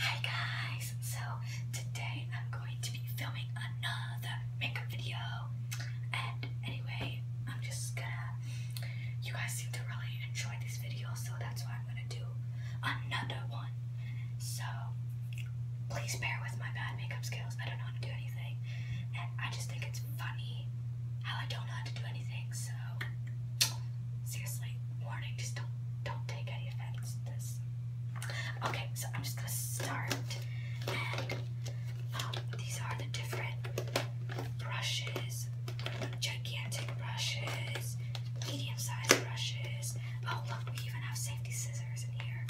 Hi guys, so today I'm going to be filming another makeup video and anyway, I'm just gonna, you guys seem to really enjoy these videos so that's why I'm gonna do another one. So please bear with my bad makeup skills, I don't know how to do anything and I just think it's funny how I don't know how to do anything so seriously, warning, just don't don't take any offense this. Okay, so I'm just gonna start and um, these are the different brushes, gigantic brushes, medium-sized brushes. Oh look, we even have safety scissors in here.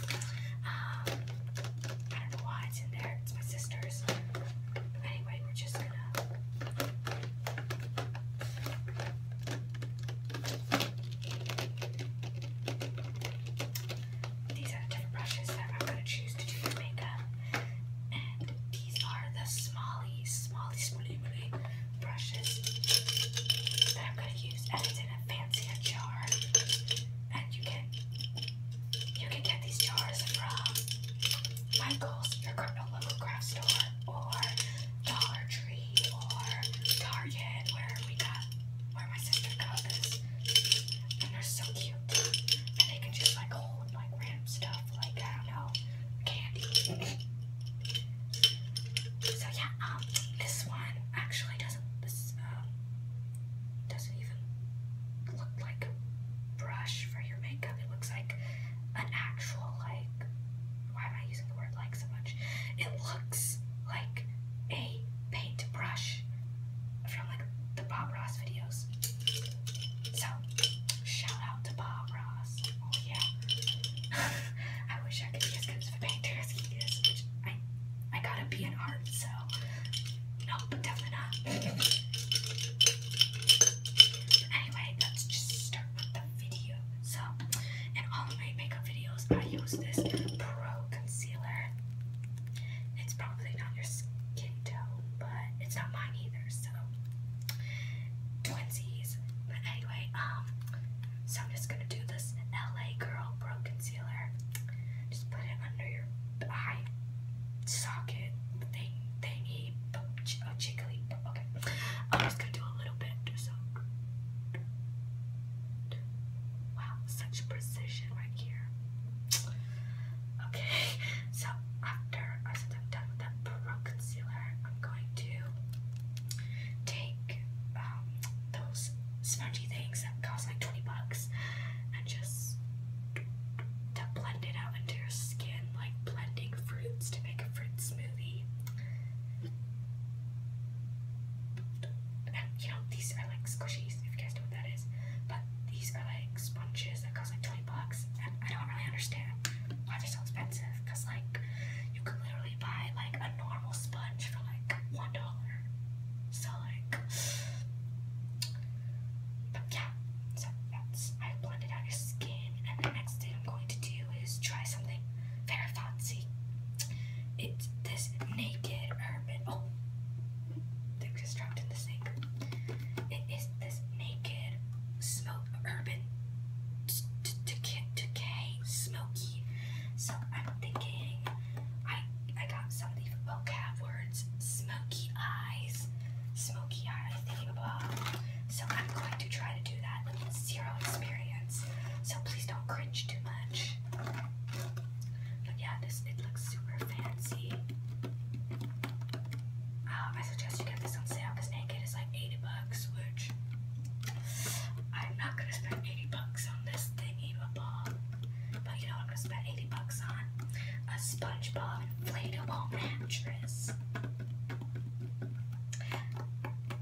Um, I don't know why it's in there. It's my sister's. Anyway, we're just gonna these are the different brushes that I'm going to choose to do my makeup. And these are the smally, smally, smally, smally brushes that I'm going to use. And it's in a fancier jar. And you can you can get these jars from Michael's, your local craft store, or Dollar Tree or Target where we got where my sister got this. And they're so cute. And they can just like hold like random stuff like I don't know, candy. so yeah, um this one actually doesn't this um doesn't even look like a brush for your makeup. It looks like an actual like why am I using the word like so much? It looks like a paintbrush from like the Bob Ross videos. So shout out to Bob Ross. Oh yeah. I wish I could be as good as a painter as he is, I I gotta be in art, so no, nope, definitely not. anyway, let's just start the video. So, in all of my makeup videos, I use this Pro Concealer. It's probably not your skin tone, but it's not mine either, so twinsies. But anyway, um, so I'm just gonna do this LA Girl Pro Concealer. Just put it under your eye socket thing thingy. Oh, okay, I'm just gonna do a little bit. wow, such precision right here. Okay, so after I am done with that pro concealer, I'm going to take um, those spongy things that cost like 20 bucks and just to blend it out into your skin, like blending fruits to make a fruit smoothie. You know, these are like squishies, if you guys know what that is. But these are like sponges that cost like 20 bucks. And I don't really understand why they're so expensive. Because, like, you could literally buy like a normal sponge for like $1. So, like, but yeah. So that's, I blended out your skin. And the next thing I'm going to do is try something very fancy. It's this naked urban. Oh, things is dropped in the sink. It is this naked smoke urban decay, decay smoky. So I'm thinking I I got something vocab words. Smoky eyes, smoky eyes anything So I'm going to try to do that zero experience. So please don't cringe too much. But yeah, this it looks super fancy. Um, I suggest you get this on sale because naked is like 80 bucks, which I'm not gonna spend 80 bucks on this thing ball. But you know I'm gonna spend 80 bucks on? A SpongeBob inflatable mattress.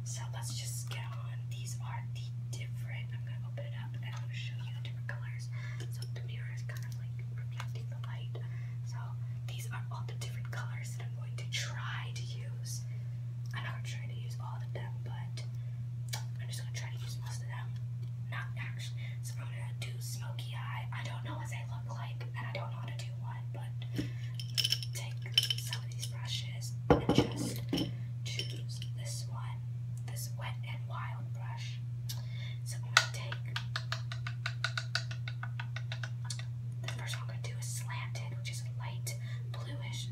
So let's just get on. These are the different. I'm gonna open it up and I'm gonna show you the different colors. So the mirror is kind of like reflecting the light. So these are all the different colors that I'm going to try to use. I'm not trying to use all of them, but I'm just gonna try to use most of them. Not actually. So I'm gonna do smoky eye. I don't know what they look like, and I don't know how to do but take some of these brushes and just choose this one, this wet and wild brush. So I'm gonna take the first one I'm gonna do is slanted, which is a light bluish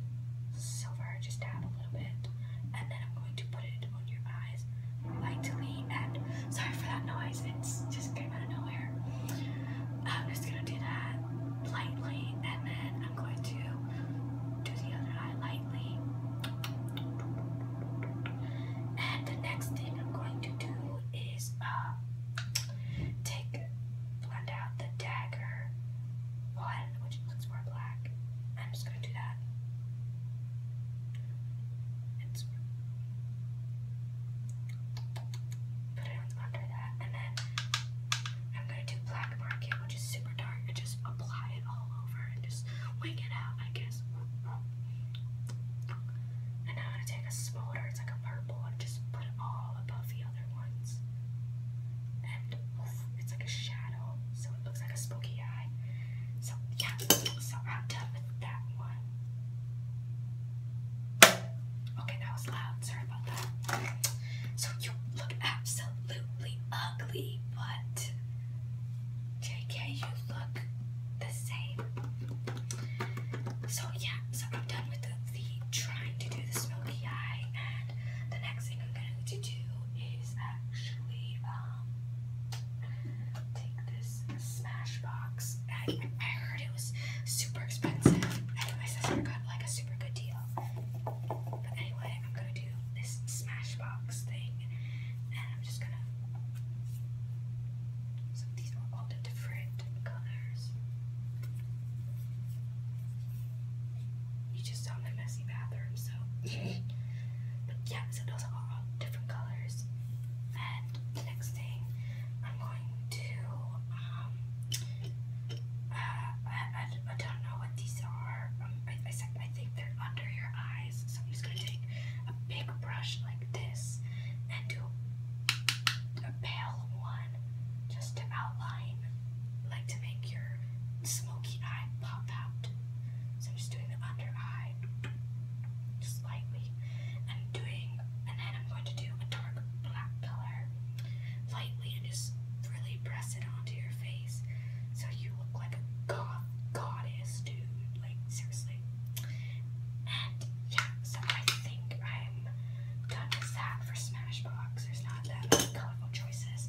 silver, just dab a little bit, and then I'm going to put it on your eyes lightly and sorry for that noise, it's just out of nowhere. I'm just gonna do that lightly, and then I'm going to do the other eye lightly. And the next thing I'm going to do is uh, take blend out the dagger one, which looks more black. I'm just gonna do that. It's put it under that, and then I'm gonna do black market, which is super dark, and just apply it all over and just wing it out, I guess. And I'm gonna take a smaller, it's like a purple, and just put it all above the other ones. And it's like a shadow, so it looks like a spooky eye. So yeah, so I'm done with that one. Okay, that was loud. Sorry about that. So you look absolutely ugly, but JK, you look the same. So yeah, so I'm done with the, trying to do the smoky eye, and the next thing I'm going to do is actually um take this Smashbox I, heard it was super expensive. I think my sister got like a super good deal. But anyway, I'm gonna do this Smashbox thing, and I'm just gonna. these are all the different colors. You just saw my messy bathroom, so. but yeah, so those are all different colors, the next thing I'm going to, um, uh, I, I, don't know what these are. Um, I, I, I think they're under your eyes. So I'm just going to take a big brush like this and do a pale one just to outline, like to make your smoky eye pop out. So I'm just doing the under eye just lightly. I'm doing, and then I'm going to do a dark black color lightly and just really press it onto your face so you look like a goth goddess, dude. Like, seriously. And yeah, so I think I'm done with that for Smashbox. There's not that many colorful choices.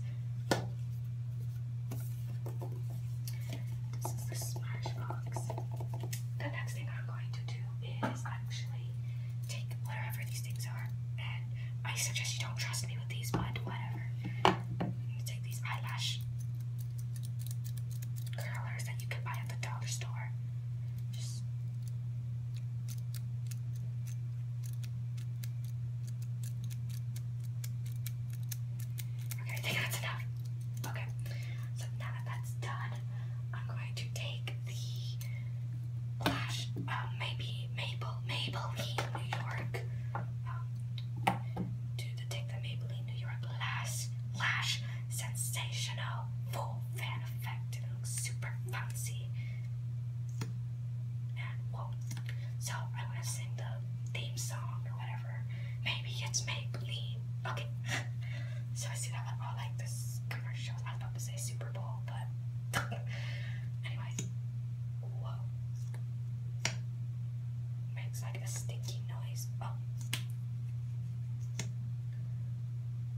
This is the Smashbox. The next thing going to do is actually take whatever these things are, and I suggest you don't trust me with these, but whatever. take these eyelash curlers that you can buy at the dollar store. Okay, I think that's enough. Okay, so now that that's done, I'm going to take the blush, um, maybe Maybelline New York, um, the, take the Maybelline New York Lash, Lash Sensational Full Fan Effect. It looks super fancy. And whoa. So I'm gonna sing the theme song or whatever. Maybe it's Maybelline. Okay. so I see that one all oh, like this commercial. I was about to say Super Bowl, but anyways. Whoa. Makes like a stinky noise. Oh.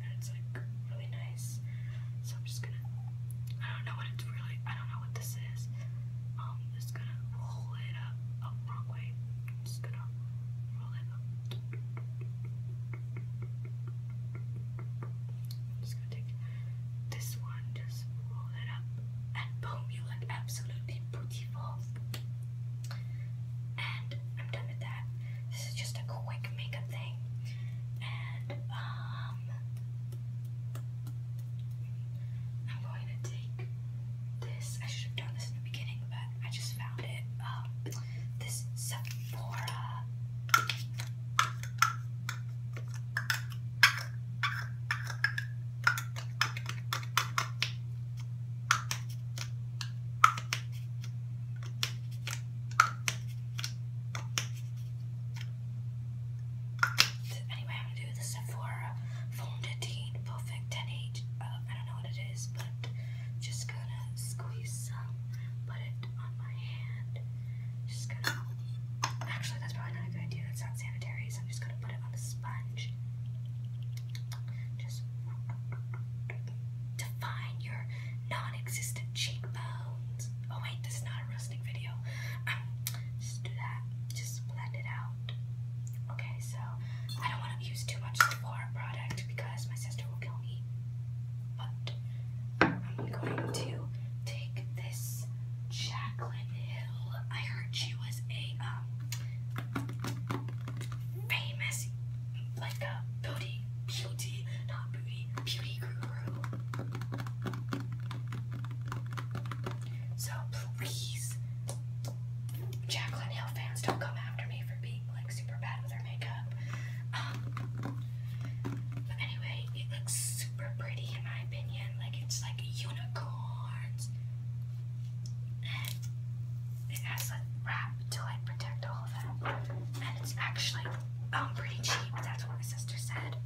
And it's like really nice. So I'm just gonna I don't know what it's really I don't know what this is. Um just gonna roll it up. Oh wrong just gonna roll it up. just gonna take this one, just roll it up, and boom, you look absolutely beautiful. And I'm done with that. This is just a quick makeup thing. And um I'm going to take this. I should have done this in the beginning, but I just found it. Um, this Sephora. Anyway, I'm gonna do the Sephora Fondantine Perfect 10 H. Uh, don't know it is, just gonna squeeze some, put it on my hand. Actually, that's probably not a good idea. That's not sanitary, so I'm just gonna put it on a sponge. Just define your non existent cheekbones. Oh, wait, this is not a roasting video. Um, just do that. Just blend it out. Okay, so I don't want to use too much Sephora product because my sister will kill me. But I'm going to take this Jaclyn Hill. I heard she was a um famous like a beauty beauty not beauty beauty guru. So please Jaclyn Hill fans don't come after me for being like super bad with her makeup. Um, but anyway, it looks super pretty in my opinion. Like it's like unicorns. And it has a wrap to like protect all of that. And it's actually um pretty cheap. That's what my sister said.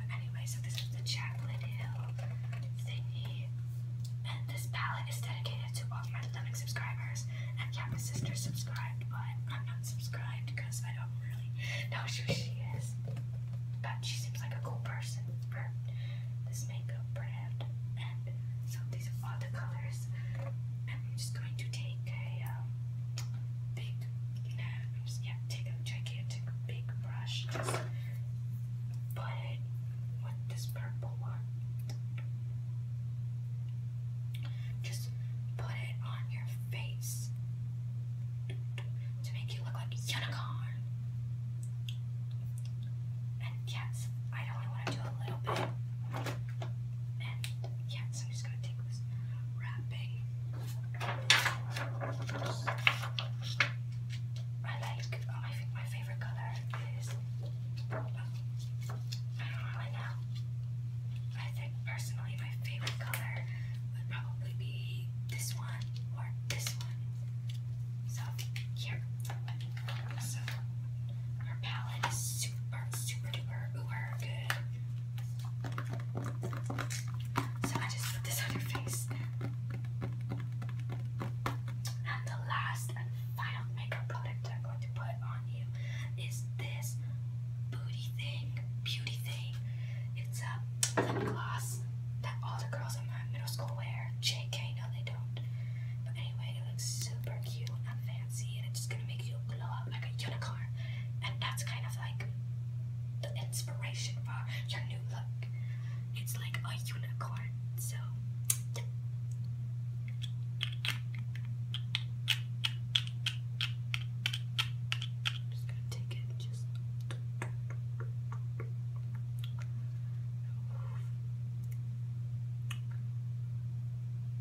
But anyway, so this is the Jaclyn Hill thingy this palette is dedicated to all of my Living subscribers. And yeah, my sister's subscribed, but I'm not subscribed because I don't really know who she is. But she seems like a cool person for this makeup brand. And so these are all the colors. I'm just going to take a um, big, yeah, take a gigantic big brush, just put what this purple one. Just put it on your face to make you look like a unicorn. And yes, I only want to do a little bit. And yes, I'm just going to take this wrapping. I like, oh, I think my favorite color is. Oh, I don't really know. I think personally my favorite color would probably be this one or this one. So here. So our palette is super, super duper, uber good. So I just put this on your face. And the last and final makeup product I'm going to put on you is this booty thing, beauty thing. It's a lip gloss that all the girls in my middle school wear. JK, no, they don't. But anyway, it looks super cute and fancy, and it's just gonna make you glow up like a unicorn. And that's kind of like the inspiration for your new look. It's like a unicorn. So,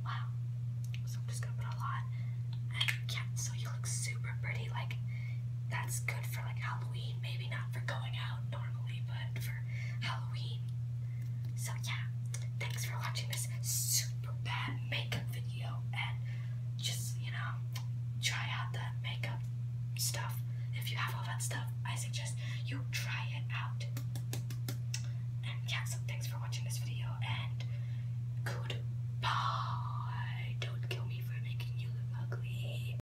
Wow. So I'm just gonna put a lot. yeah, so you look super pretty. Like, that's good for like Halloween, maybe not for going out normally, but for Halloween. So yeah, thanks for watching this super bad makeup video and just, you know, try out that makeup stuff. If you have all that stuff, I suggest you try it out. And yeah, so thanks for watching this video and goodbye. Don't kill me for making you look ugly.